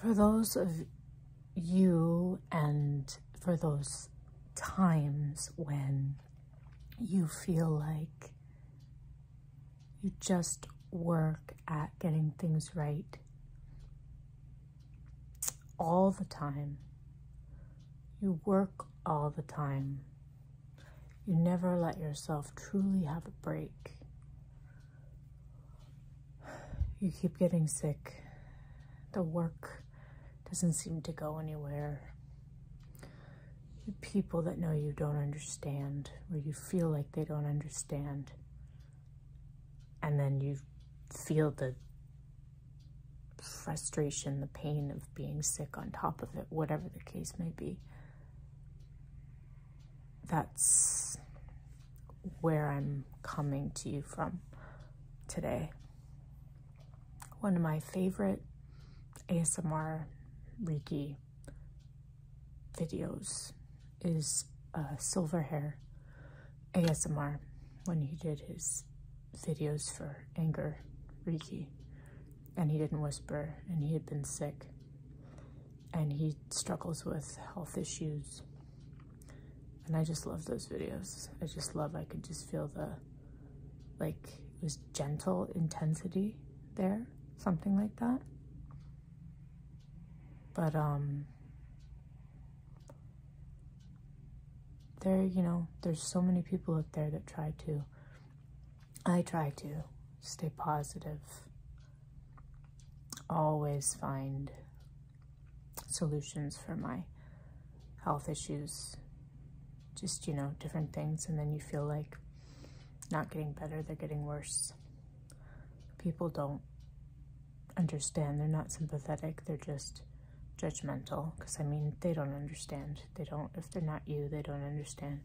For those of you and for those times when you feel like you just work at getting things right all the time. You work all the time. You never let yourself truly have a break you keep getting sick. The work doesn't seem to go anywhere. The people that know you don't understand, or you feel like they don't understand. And then you feel the frustration, the pain of being sick on top of it, whatever the case may be that's where I'm coming to you from today. One of my favorite ASMR Reiki videos is Silver Hair ASMR when he did his videos for anger Reiki and he didn't whisper and he had been sick and he struggles with health issues. And I just love those videos. I just love, I could just feel the, like, it was gentle intensity there, something like that. But, um, there, you know, there's so many people out there that try to I try to stay positive, always find solutions for my health issues, just, you know, different things. And then you feel like not getting better, they're getting worse. People don't understand. They're not sympathetic. They're just judgmental. Because, I mean, they don't understand. They don't, if they're not you, they don't understand.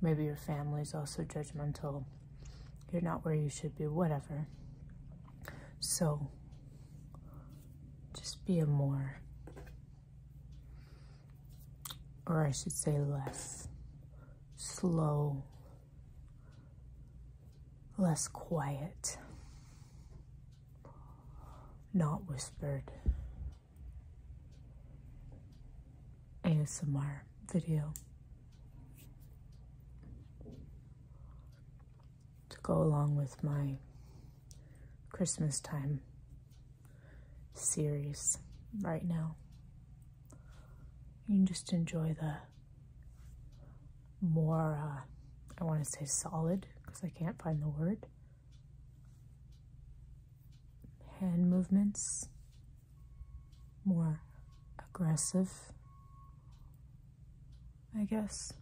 Maybe your family's also judgmental. You're not where you should be, whatever. So, just be a more, or I should say less, slow, less quiet, not whispered, ASMR video to go along with my Christmas time series right now. You can just enjoy the more, uh, I want to say solid because I can't find the word, hand movements, more aggressive, I guess.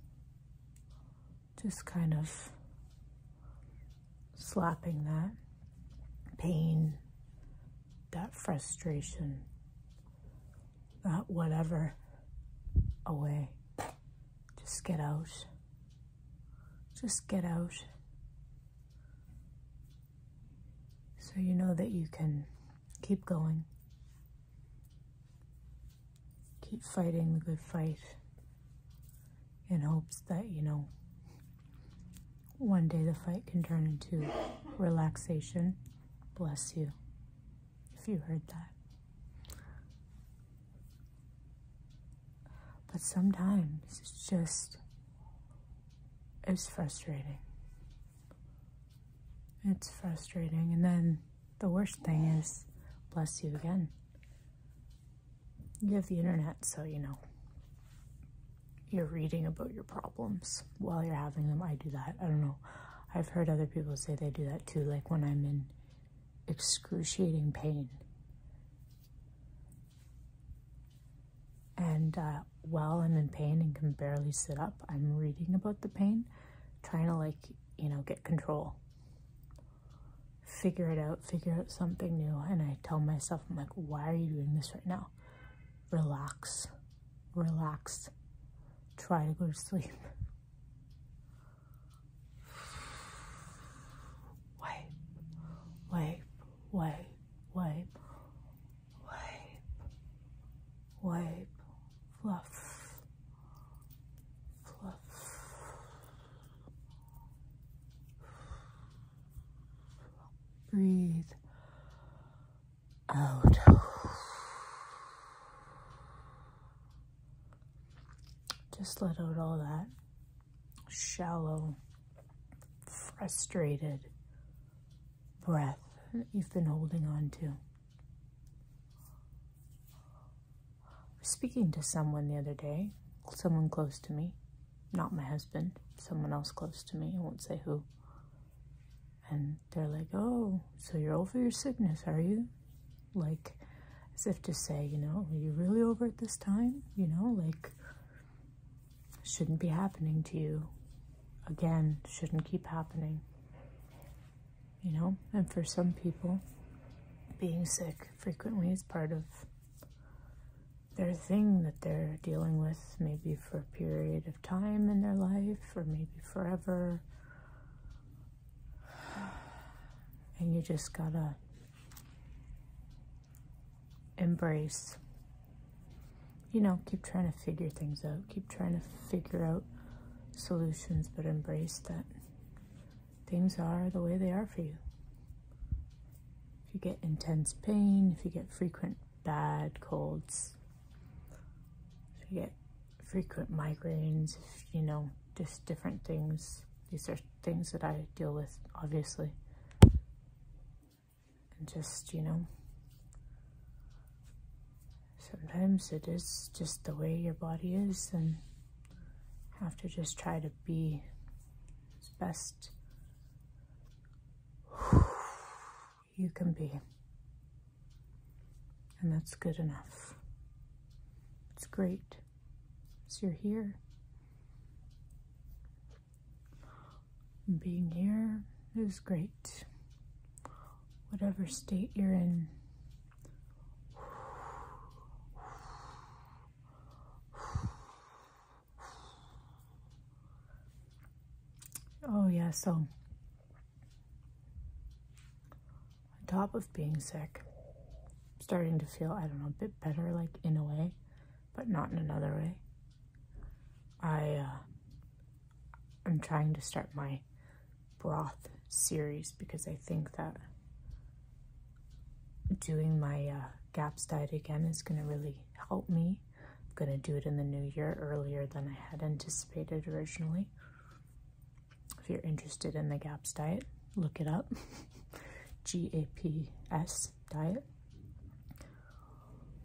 Just kind of slapping that pain, that frustration, that whatever away. Just get out just get out so you know that you can keep going, keep fighting the good fight in hopes that, you know, one day the fight can turn into relaxation. Bless you, if you heard that. But sometimes it's just, it's frustrating. It's frustrating. And then the worst thing is, bless you again. You have the internet, so you know. You're reading about your problems while you're having them. I do that. I don't know. I've heard other people say they do that too. Like when I'm in excruciating pain. And uh, while I'm in pain and can barely sit up, I'm reading about the pain, trying to like, you know, get control, figure it out, figure out something new. And I tell myself, I'm like, why are you doing this right now? Relax, relax, try to go to sleep wipe, wipe, wipe, wipe, wipe, wipe, fluff, fluff, breathe out. Just let out all that shallow, frustrated breath that you've been holding on to. Speaking to someone the other day, someone close to me, not my husband, someone else close to me, I won't say who. And they're like, oh, so you're over your sickness, are you? like as if to say, you know, are you really over it this time? You know, like, shouldn't be happening to you. Again, shouldn't keep happening. You know, and for some people, being sick frequently is part of their thing that they're dealing with, maybe for a period of time in their life or maybe forever and you just gotta embrace. You know, keep trying to figure things out. Keep trying to figure out solutions, but embrace that things are the way they are for you. If you get intense pain, if you get frequent bad colds, if you get frequent migraines, you know, just different things. These are things that I deal with, obviously. And just, you know, sometimes it is just the way your body is and have to just try to be as best you can be and that's good enough. It's great. So you're here. Being here is great. Whatever state you're in. Oh, yeah, so on top of being sick, starting to feel, I don't know, a bit better, like in a way, but not in another way. I, uh, I'm trying to start my broth series because I think that doing my uh, GAPS diet again is going to really help me. I'm going to do it in the new year earlier than I had anticipated originally. If you're interested in the GAPS diet, look it up. G-A-P-S diet.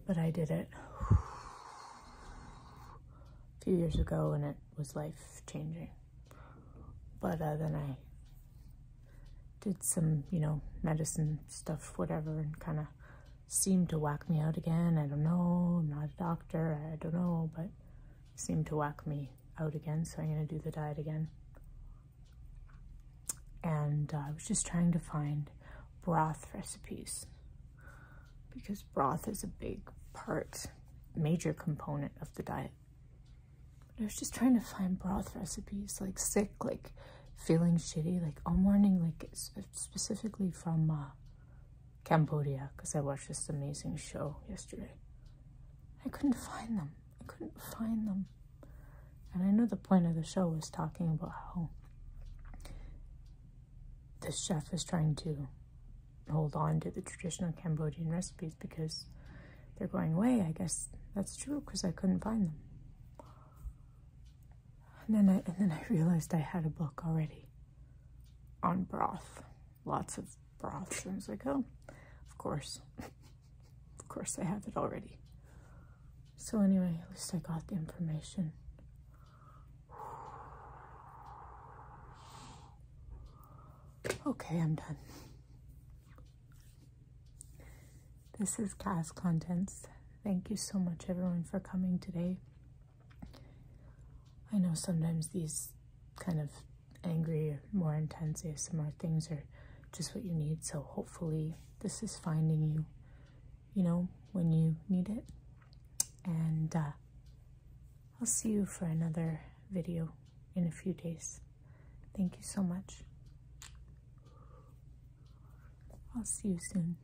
But I did it a few years ago and it was life changing. But uh, then I did some, you know, medicine stuff, whatever, and kind of seemed to whack me out again. I don't know. I'm not a doctor. I don't know. But seemed to whack me out again, so I'm going to do the diet again. And uh, I was just trying to find broth recipes because broth is a big part, major component of the diet. I was just trying to find broth recipes, like sick, like feeling shitty, like all morning, like specifically from uh, Cambodia because I watched this amazing show yesterday. I couldn't find them. I couldn't find them. And I know the point of the show was talking about how the chef is trying to hold on to the traditional Cambodian recipes because they're going away. I guess that's true because I couldn't find them. And then I and then I realized I had a book already on broth lots of broths. And I was like, oh, of course. of course I have it already. So anyway, at least I got the information. Okay, I'm done. This is cast Contents. Thank you so much everyone for coming today. I know sometimes these kind of angry or more intense ASMR things are just what you need, so hopefully this is finding you, you know, when you need it. And uh, I'll see you for another video in a few days. Thank you so much. I'll see you soon.